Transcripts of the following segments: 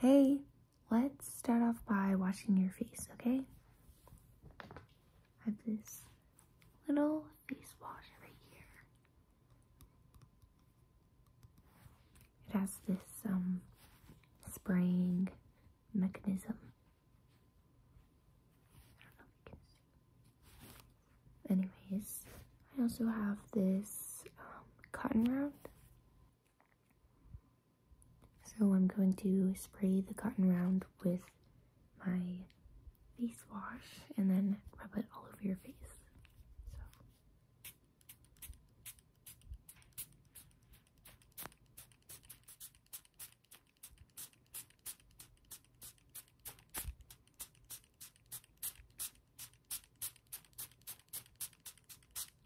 Hey, let's start off by washing your face, okay? I have this little face wash right here. It has this um spraying mechanism. Anyways, I also have this um, cotton round. So I'm going to spray the cotton round with my face wash and then rub it all over your face.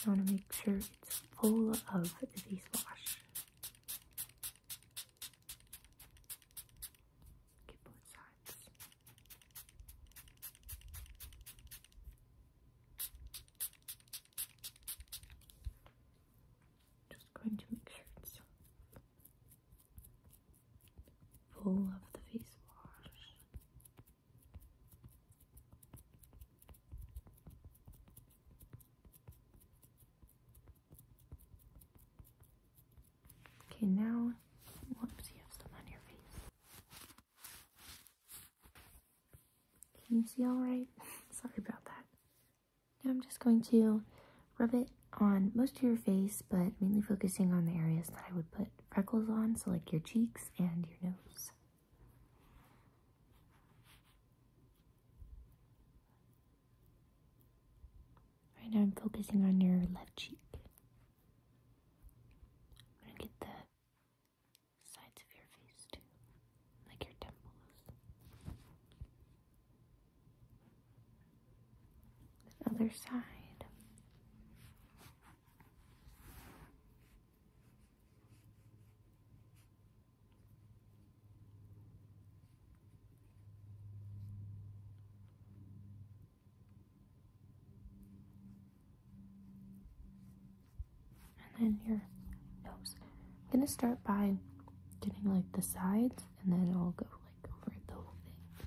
You want to make sure it's full of the face wash. Get both sides. Just going to make sure it's full of the face wash. Okay, now, whoops, you have some on your face. Can you see all right? Sorry about that. Now I'm just going to rub it on most of your face, but mainly focusing on the areas that I would put freckles on, so like your cheeks and your nose. Right now I'm focusing on your left cheek. I'm going to get the sides of your face too, like your temples. other side and then your nose. I'm gonna start by getting like the sides and then I'll go like over the whole thing.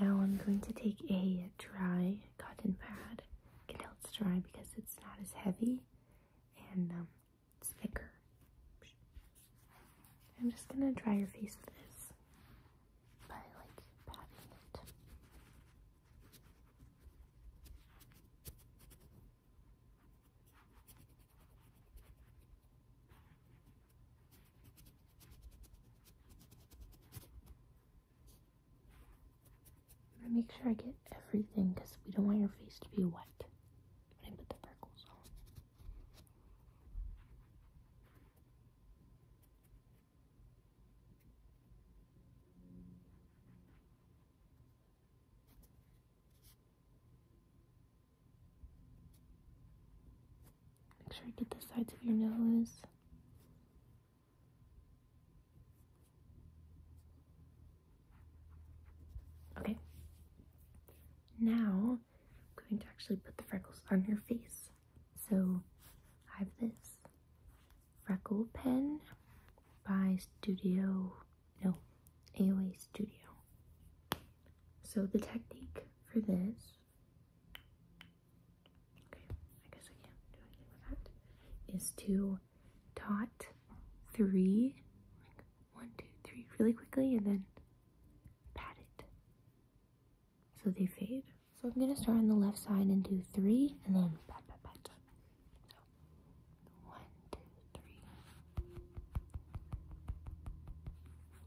Now I'm going to take a dry cotton pad. I can dry because it's not as heavy and um, thicker. I'm just going to dry your face with this by like patting it. I make sure I get everything because we don't want your face to be wet when I put the freckles on. Make sure you get the sides of your nose. Okay. Now, I'm going to actually put the freckles on your face. So, I have this freckle pen by Studio, no, AOA Studio. So, the technique for this okay, I guess I can do anything with that, is to dot three, really quickly, and then pat it so they fade. So I'm gonna start on the left side and do three, and then one, two, three.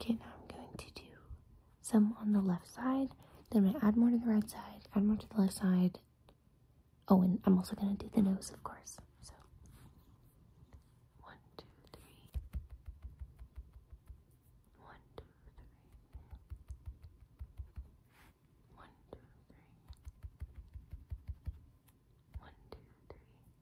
Okay, now I'm going to do some on the left side. Then I'm gonna add more to the right side, add more to the left side. Oh, and I'm also gonna do the nose, of course. So one, two, three. One, two, three. One, two, three. One, two, three.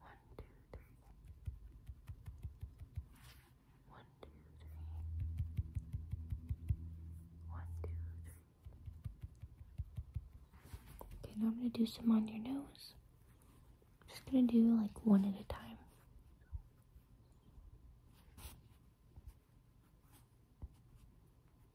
One, two, three. One, two, three. One, two, three. Okay, now I'm gonna do some on your nose. I'm just gonna do like one at a time.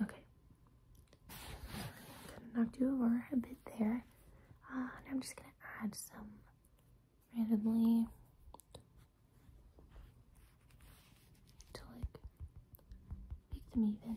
Okay. Gonna knocked you over a bit there. Uh, I'm just gonna add some randomly to like make them even.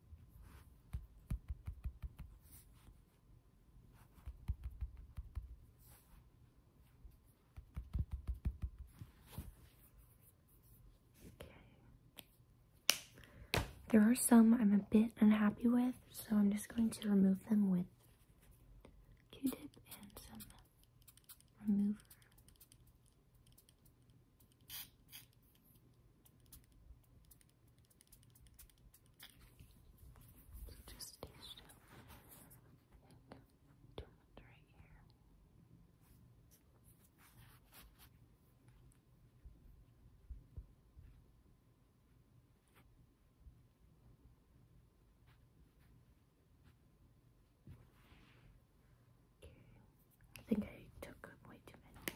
There are some I'm a bit unhappy with, so I'm just going to remove them with Q-tip and some remover. So just stay still and do right here. Okay. I think I took way too many.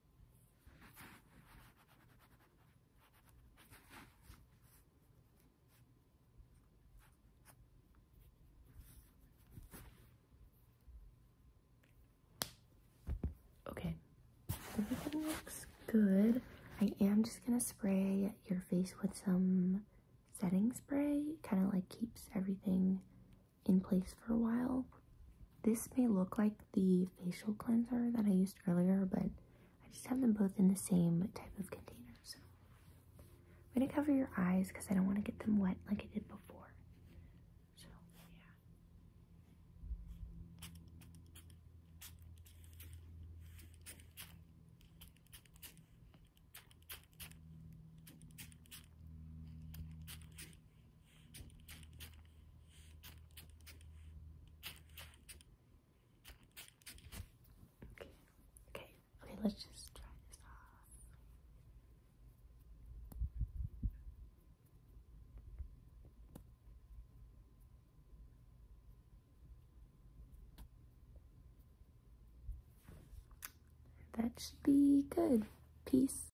Okay, everything looks good. I am just gonna spray your face with some setting spray. Kind of like keeps everything in place for a while. This may look like the facial cleanser that I used earlier, but I just have them both in the same type of container. So I'm going to cover your eyes because I don't want to get them wet like I did before. So, yeah. Okay, okay, okay, let's just try this off. That should be good. Peace.